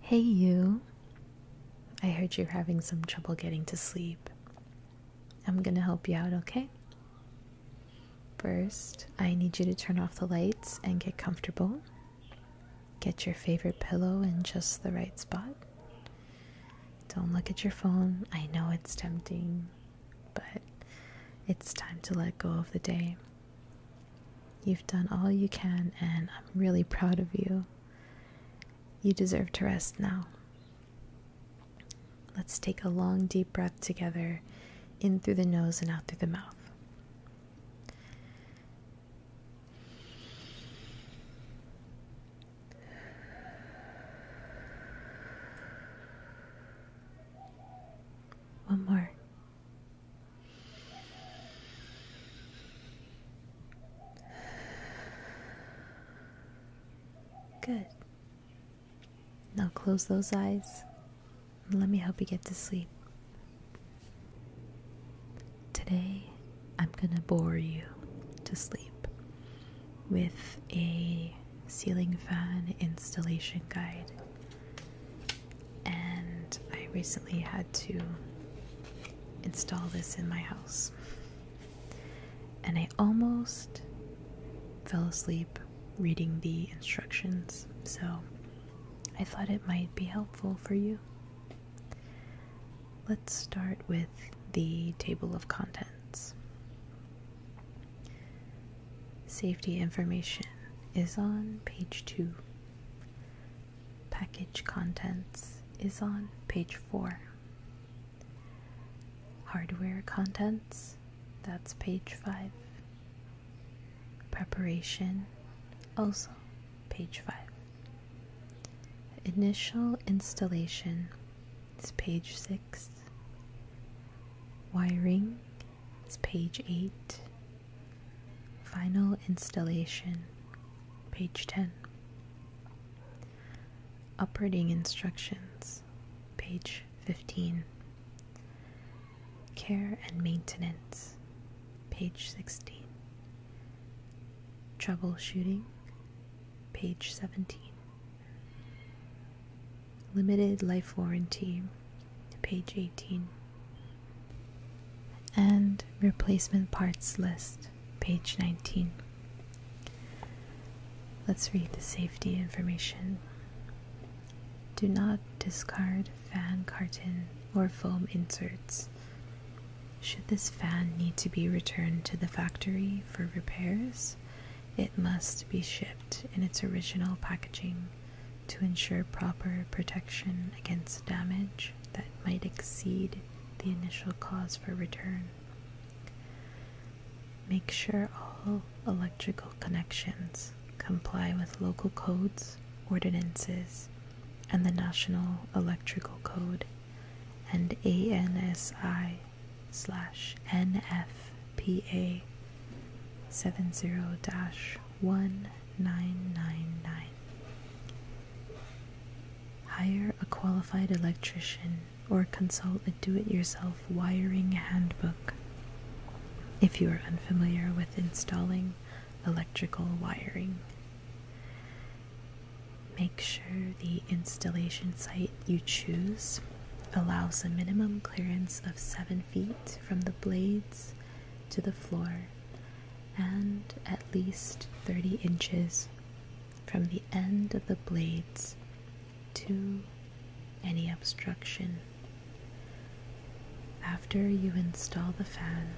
Hey, you. I heard you're having some trouble getting to sleep. I'm gonna help you out, okay? First, I need you to turn off the lights and get comfortable. Get your favorite pillow in just the right spot. Don't look at your phone. I know it's tempting, but it's time to let go of the day. You've done all you can, and I'm really proud of you. You deserve to rest now. Let's take a long, deep breath together in through the nose and out through the mouth. One more. Good. Now close those eyes and let me help you get to sleep. Today, I'm gonna bore you to sleep with a ceiling fan installation guide and I recently had to install this in my house. And I almost fell asleep reading the instructions, so I thought it might be helpful for you. Let's start with the table of contents. Safety information is on page 2. Package contents is on page 4. Hardware contents, that's page 5. Preparation, also page 5. Initial installation is page 6. Wiring is page 8. Final installation, page 10. Operating instructions, page 15. Care and maintenance, page 16. Troubleshooting, page 17. Limited life warranty page 18, and replacement parts list, page 19. Let's read the safety information. Do not discard fan carton or foam inserts. Should this fan need to be returned to the factory for repairs, it must be shipped in its original packaging to ensure proper protection against damage that might exceed the initial cause for return. Make sure all electrical connections comply with local codes, ordinances, and the National Electrical Code and ANSI slash NFPA 70-1999 hire a qualified electrician or consult a do-it-yourself wiring handbook if you are unfamiliar with installing electrical wiring make sure the installation site you choose allows a minimum clearance of 7 feet from the blades to the floor, and at least 30 inches from the end of the blades to any obstruction. After you install the fan,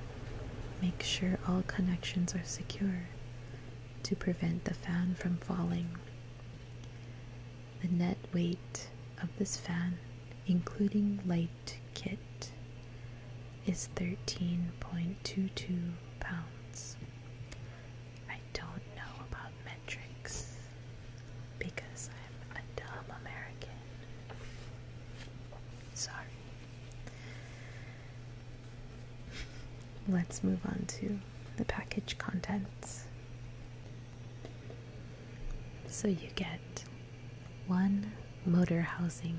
make sure all connections are secure to prevent the fan from falling the net weight of this fan, including light kit, is 13.22 pounds. I don't know about metrics because I'm a dumb American. Sorry. Let's move on to the package contents. So you get one motor housing,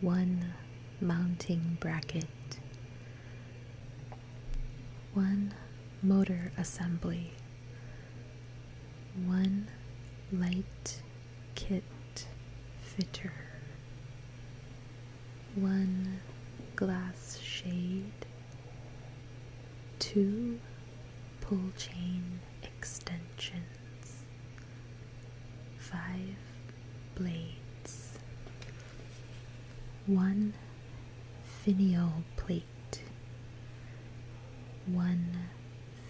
one mounting bracket, one motor assembly, one light kit fitter, one glass shade, two pull chain extensions, five blades, one finial plate, one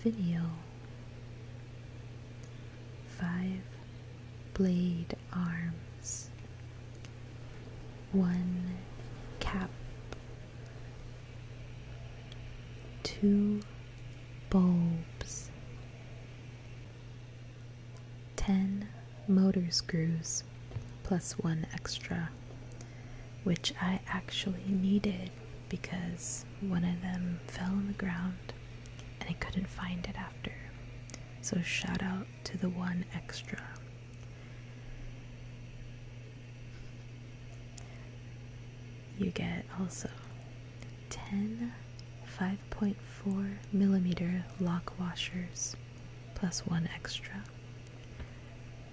finial, five blade arms, one cap, two bulbs, ten motor screws, plus one extra, which I actually needed because one of them fell on the ground and I couldn't find it after. So, shout out to the one extra. You get also 10 5.4 millimeter lock washers plus one extra,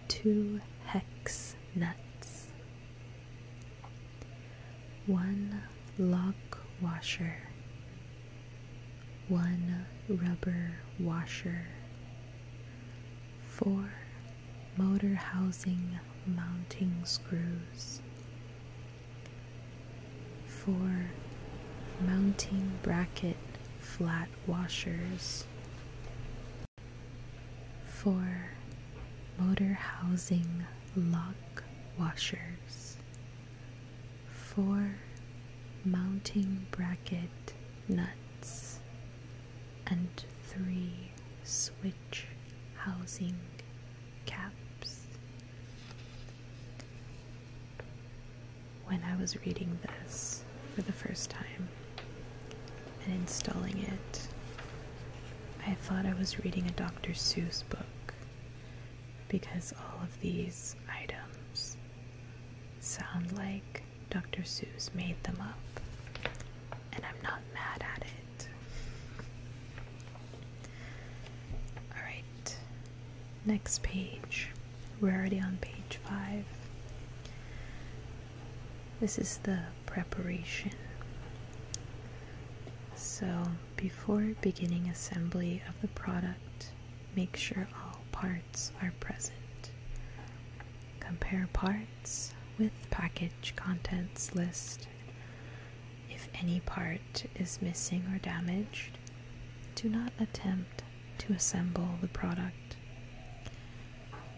two hex nuts, one lock washer, one rubber washer, four motor housing mounting screws, four mounting bracket flat washers, four motor housing lock washers, four mounting bracket nuts, and three switch housing caps. When I was reading this for the first time and installing it, I thought I was reading a Dr. Seuss book because all of these items sound like Dr. Seuss made them up, and I'm not mad at it. Alright, next page. We're already on page five. This is the preparation. So, before beginning assembly of the product, Make sure all parts are present. Compare parts with package contents list. If any part is missing or damaged, do not attempt to assemble the product.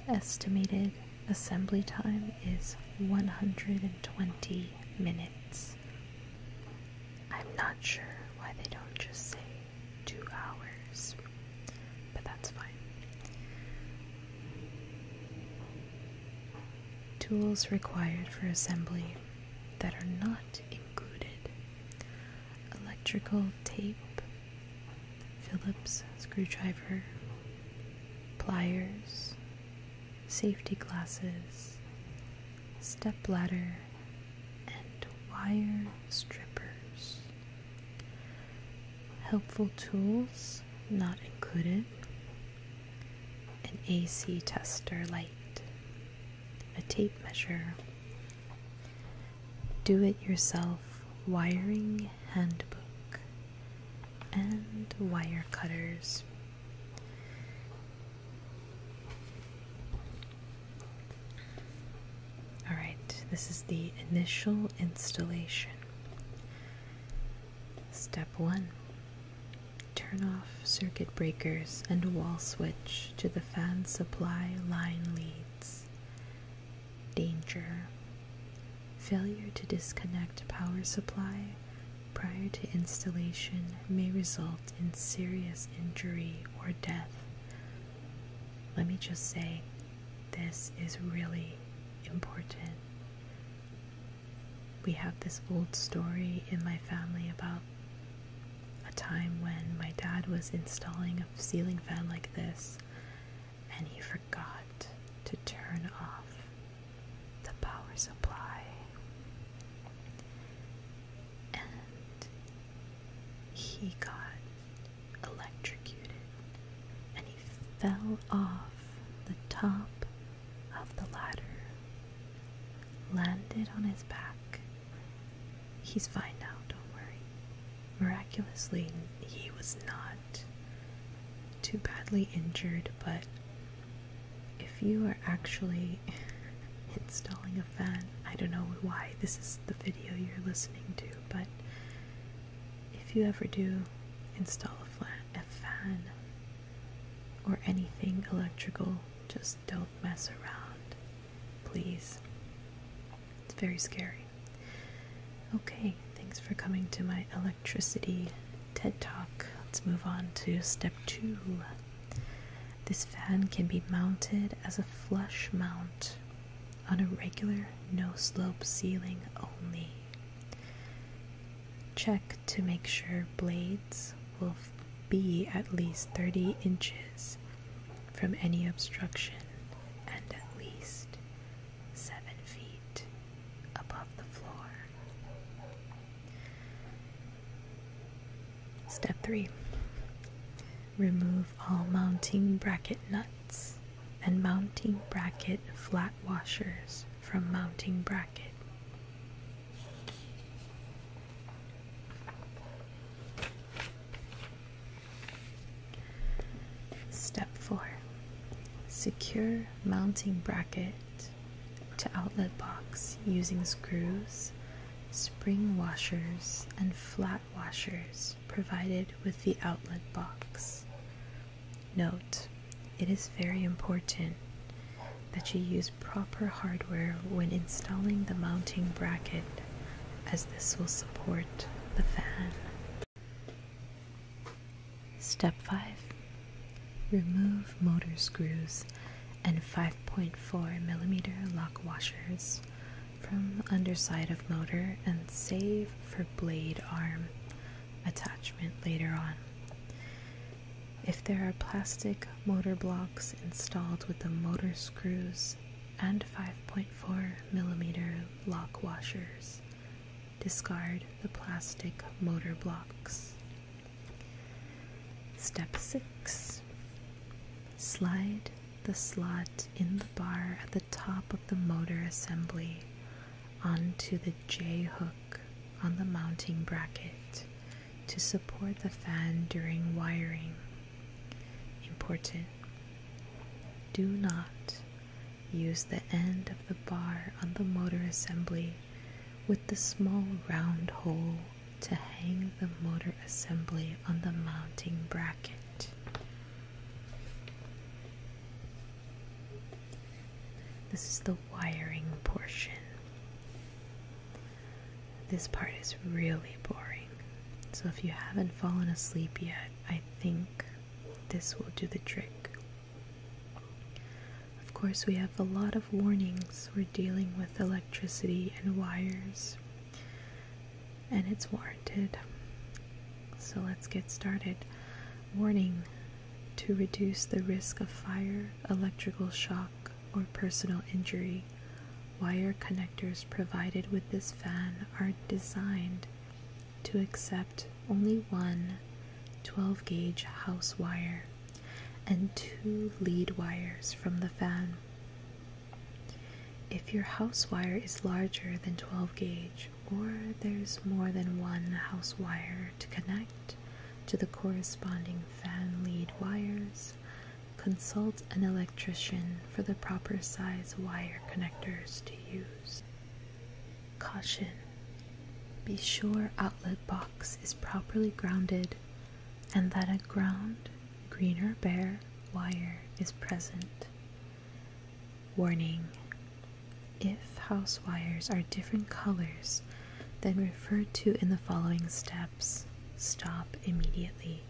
Estimated assembly time is 120 minutes. I'm not sure why they don't just say two hours, but that's fine. Tools required for assembly that are not included electrical tape, Phillips screwdriver, pliers, safety glasses, step ladder, and wire strippers. Helpful tools not included an AC tester light, a tape measure, do it yourself wiring handbook, and wire cutters. All right, this is the initial installation. Step 1 Turn off circuit breakers and wall switch to the fan supply line leads. Danger Failure to disconnect power supply prior to installation may result in serious injury or death let me just say, this is really important. We have this old story in my family about a time when my dad was installing a ceiling fan like this and he forgot to turn off the power supply and he got electrocuted and he fell off the top of the ladder, landed on his back. He's fine now, don't worry. Miraculously, he was not too badly injured, but if you are actually installing a fan. I don't know why this is the video you're listening to, but if you ever do install a fan or anything electrical, just don't mess around, please. It's very scary. Okay, thanks for coming to my electricity TED Talk. Let's move on to step two. This fan can be mounted as a flush mount on a regular no-slope ceiling only. Check to make sure blades will be at least 30 inches from any obstruction and at least 7 feet above the floor. Step 3 Remove all mounting bracket nuts and mounting bracket flat washers from mounting bracket. Step 4. Secure mounting bracket to outlet box using screws spring washers, and flat washers provided with the outlet box. Note, it is very important that you use proper hardware when installing the mounting bracket as this will support the fan. Step 5. Remove motor screws and 5.4 millimeter lock washers from underside of motor and save for blade arm attachment later on. If there are plastic motor blocks installed with the motor screws and 5.4 millimeter lock washers, discard the plastic motor blocks. Step 6 Slide the slot in the bar at the top of the motor assembly onto the J hook on the mounting bracket to support the fan during wiring. Important. Do not use the end of the bar on the motor assembly with the small round hole to hang the motor assembly on the mounting bracket. This is the wiring portion. This part is really boring. So if you haven't fallen asleep yet, I think this will do the trick. Of course, we have a lot of warnings we're dealing with with electricity and wires, and it's warranted. So let's get started. Warning to reduce the risk of fire, electrical shock, or personal injury. Wire connectors provided with this fan are designed to accept only one 12 gauge house wire and two lead wires from the fan. If your house wire is larger than 12 gauge or there's more than one house wire to connect to the corresponding fan lead wires, consult an electrician for the proper size wire connectors to use. Caution. Be sure outlet box is properly grounded and that a ground greener bare wire is present. Warning If house wires are different colors than referred to in the following steps, stop immediately.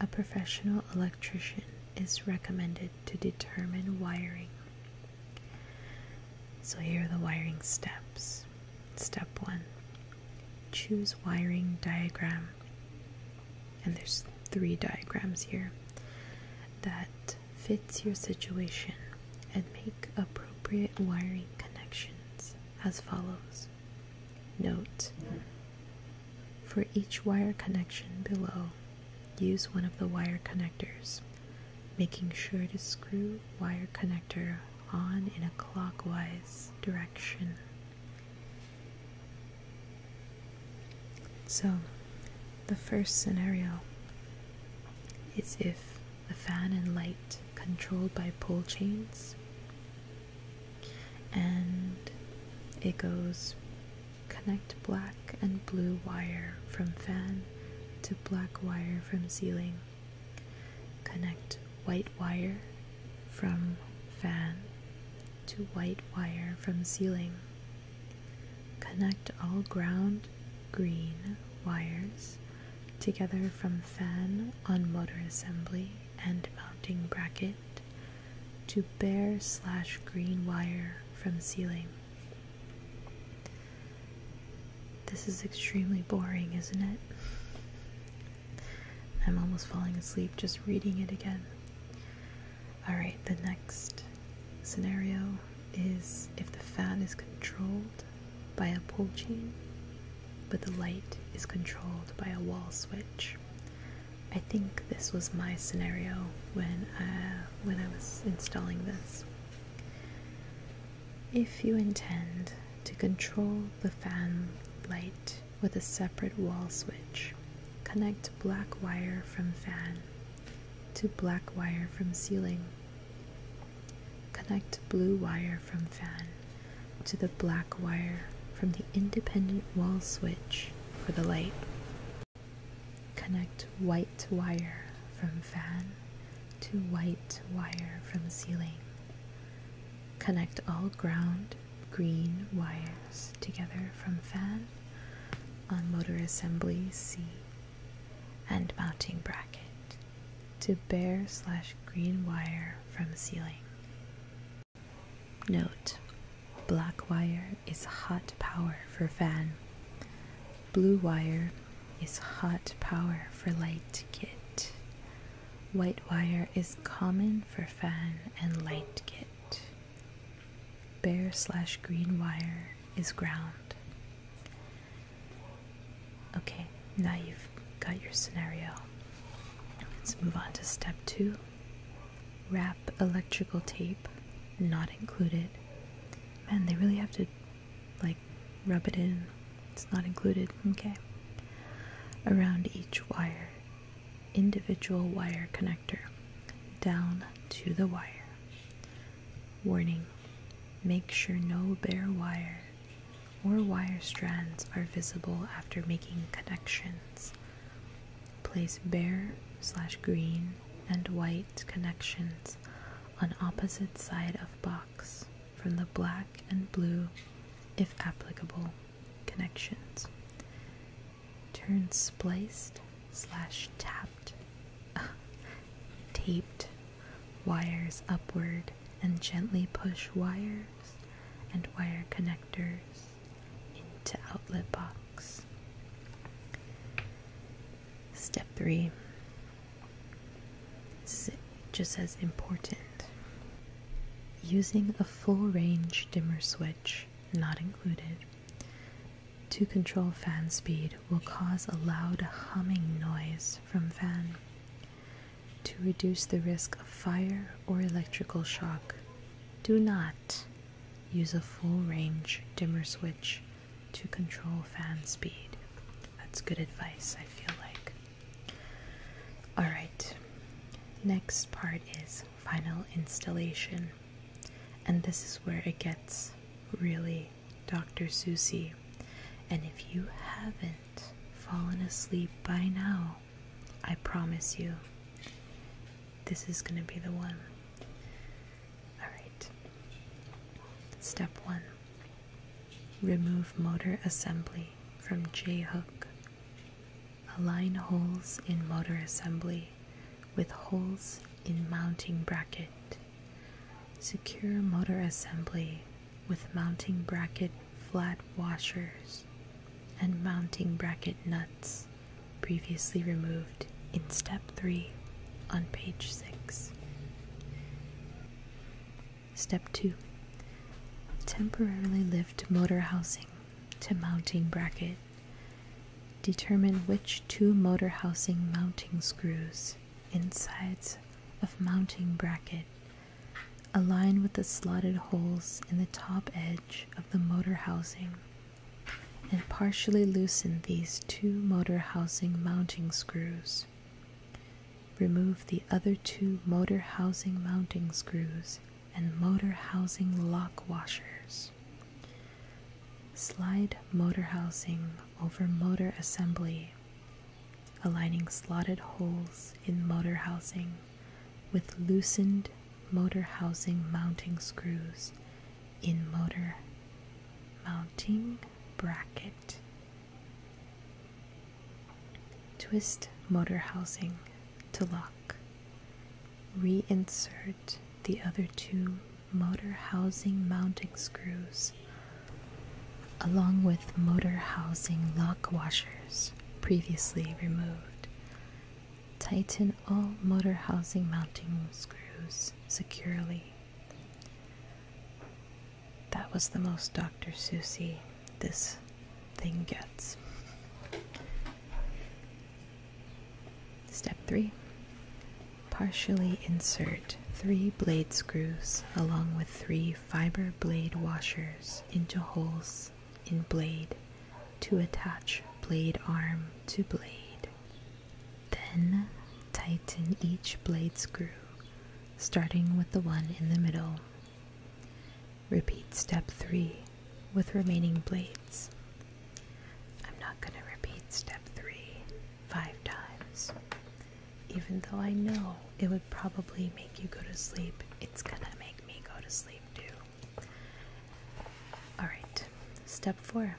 A professional electrician is recommended to determine wiring. So, here are the wiring steps. Step one choose wiring diagram. And there's three diagrams here that fits your situation and make appropriate wiring connections as follows. Note for each wire connection below, use one of the wire connectors, making sure to screw wire connector on in a clockwise direction. So, the first scenario is if the fan and light controlled by pull chains and it goes connect black and blue wire from fan to black wire from ceiling Connect white wire from fan to white wire from ceiling. Connect all ground green wires together from fan on motor assembly and mounting bracket to bare slash green wire from ceiling. This is extremely boring, isn't it? I'm almost falling asleep just reading it again. Alright, the next scenario is if the fan is controlled by a pull chain, but the light is controlled by a wall switch. I think this was my scenario when uh, when I was installing this. If you intend to control the fan light with a separate wall switch, connect black wire from fan to black wire from ceiling. Connect blue wire from fan to the black wire from the independent wall switch for the light. Connect white wire from fan to white wire from ceiling. Connect all ground green wires together from fan on motor assembly C and mounting bracket to bare slash green wire from ceiling. Note, black wire is hot power for fan. Blue wire is hot power for light kit. White wire is common for fan and light kit. Bare slash green wire is ground. Okay, now you've got your scenario. Let's move on to step two. Wrap electrical tape, not included. Man, they really have to like, rub it in. It's not included. Okay. Around each wire, individual wire connector, down to the wire. Warning Make sure no bare wire or wire strands are visible after making connections. Place bare slash green and white connections on opposite side of box from the black and blue, if applicable, connections. Turn spliced slash tapped, taped wires upward and gently push wires and wire connectors into outlet box. Step 3 it just as important. Using a full range dimmer switch, not included, to control fan speed will cause a loud humming noise from fan. To reduce the risk of fire or electrical shock, do not use a full range dimmer switch to control fan speed. That's good advice, I feel like. Alright, next part is final installation. And this is where it gets really Dr. Susie. And if you haven't fallen asleep by now, I promise you, this is going to be the one. Alright, step one Remove motor assembly from J-hook. Align holes in motor assembly with holes in mounting bracket. Secure motor assembly with mounting bracket flat washers and mounting bracket nuts previously removed in step 3 on page 6. Step 2 Temporarily lift motor housing to mounting bracket. Determine which two motor housing mounting screws, insides of mounting bracket, align with the slotted holes in the top edge of the motor housing and partially loosen these two motor housing mounting screws. Remove the other two motor housing mounting screws and motor housing lock washers. Slide motor housing over motor assembly, aligning slotted holes in motor housing with loosened motor housing mounting screws in motor mounting bracket. Twist motor housing to lock. Reinsert the other two motor housing mounting screws along with motor housing lock washers previously removed. Tighten all motor housing mounting screws securely. That was the most Dr. Susie this thing gets. Step 3 Partially insert three blade screws along with three fiber blade washers into holes in blade to attach blade arm to blade. Then tighten each blade screw, starting with the one in the middle. Repeat step 3 with remaining blades. I'm not going to repeat step 3 five times. Even though I know it would probably make you go to sleep, it's going to make me go to sleep too. Alright, step 4.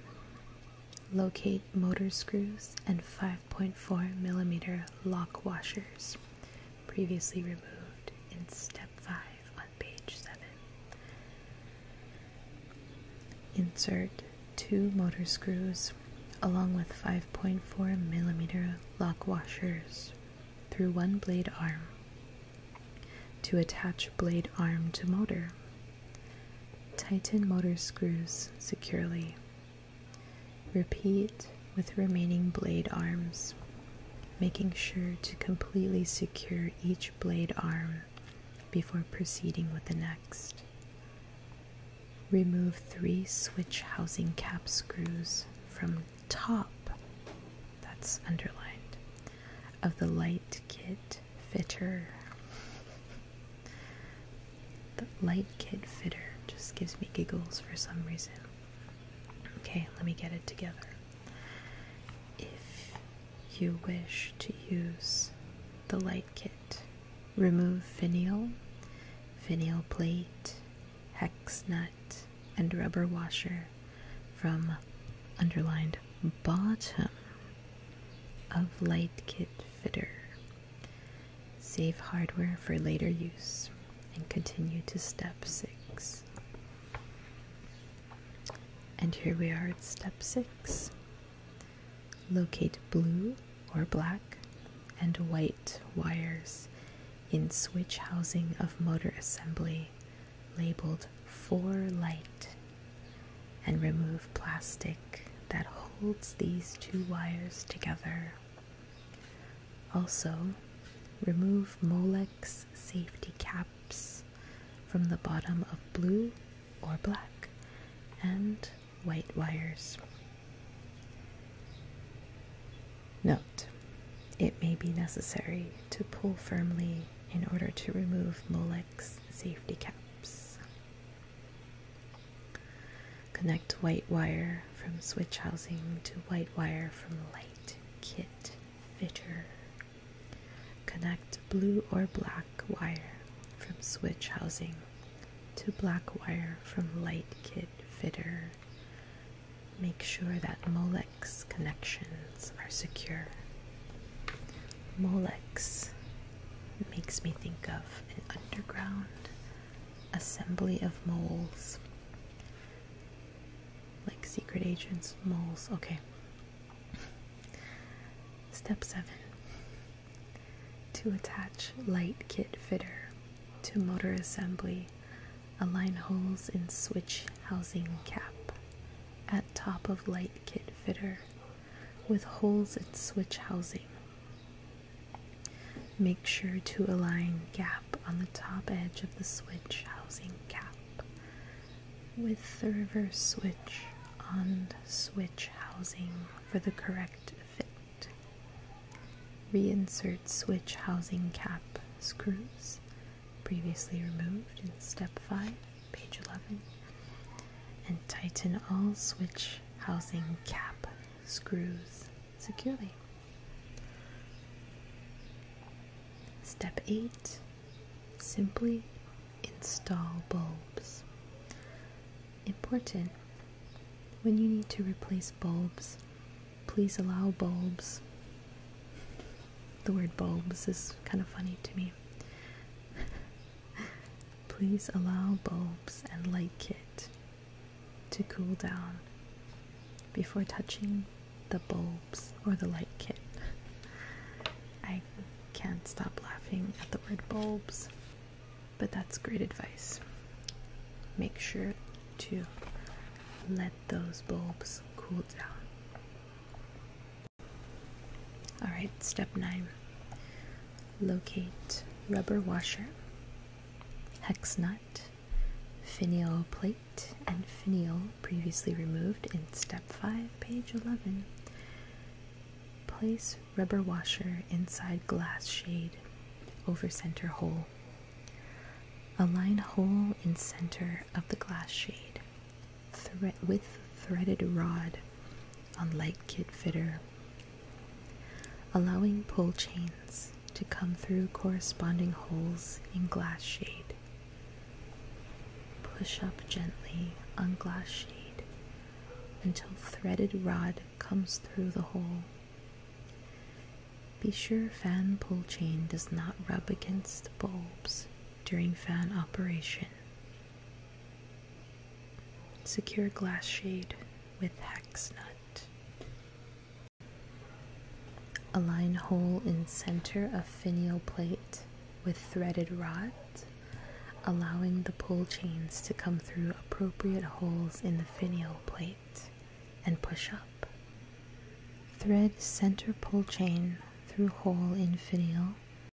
Locate motor screws and fire 5.4 millimeter lock washers, previously removed in step 5 on page 7. Insert two motor screws along with 5.4 millimeter lock washers through one blade arm to attach blade arm to motor. Tighten motor screws securely Repeat with remaining blade arms, making sure to completely secure each blade arm before proceeding with the next. Remove three switch housing cap screws from top, that's underlined, of the light kit fitter. The light kit fitter just gives me giggles for some reason. Okay, let me get it together. If you wish to use the light kit, remove finial, finial plate, hex nut, and rubber washer from underlined bottom of light kit fitter Save hardware for later use and continue to step 6. And here we are at step 6. Locate blue or black and white wires in switch housing of motor assembly labeled for light and remove plastic that holds these two wires together. Also, remove Molex safety caps from the bottom of blue or black and white wires. Note, it may be necessary to pull firmly in order to remove Molex safety caps. Connect white wire from switch housing to white wire from light kit fitter. Connect blue or black wire from switch housing to black wire from light kit fitter. Make sure that Molex connections are secure. Molex it makes me think of an underground assembly of moles. Like secret agents, moles. Okay. Step 7 To attach light kit fitter to motor assembly, align holes in switch housing cap at top of light kit fitter with holes in switch housing. Make sure to align gap on the top edge of the switch housing cap with the reverse switch on switch housing for the correct fit. Reinsert switch housing cap screws previously removed in step 5 page 11, and tighten all switch housing cap screws securely. Step 8 Simply install bulbs. Important when you need to replace bulbs, please allow bulbs. The word bulbs is kind of funny to me. Please allow bulbs and light kit to cool down before touching the bulbs or the light kit. I can't stop laughing at the word bulbs, but that's great advice. Make sure to let those bulbs cool down. Alright, step nine locate rubber washer, hex nut, finial plate, and finial previously removed in step 5, page 11. Place rubber washer inside glass shade over center hole. Align hole in center of the glass shade with threaded rod on light kit fitter, allowing pull chains to come through corresponding holes in glass shade. Push up gently on glass shade until threaded rod comes through the hole. Be sure fan pull chain does not rub against bulbs during fan operation Secure glass shade with hex nut. Align hole in center of finial plate with threaded rod, allowing the pull chains to come through appropriate holes in the finial plate and push up. Thread center pull chain through hole in finial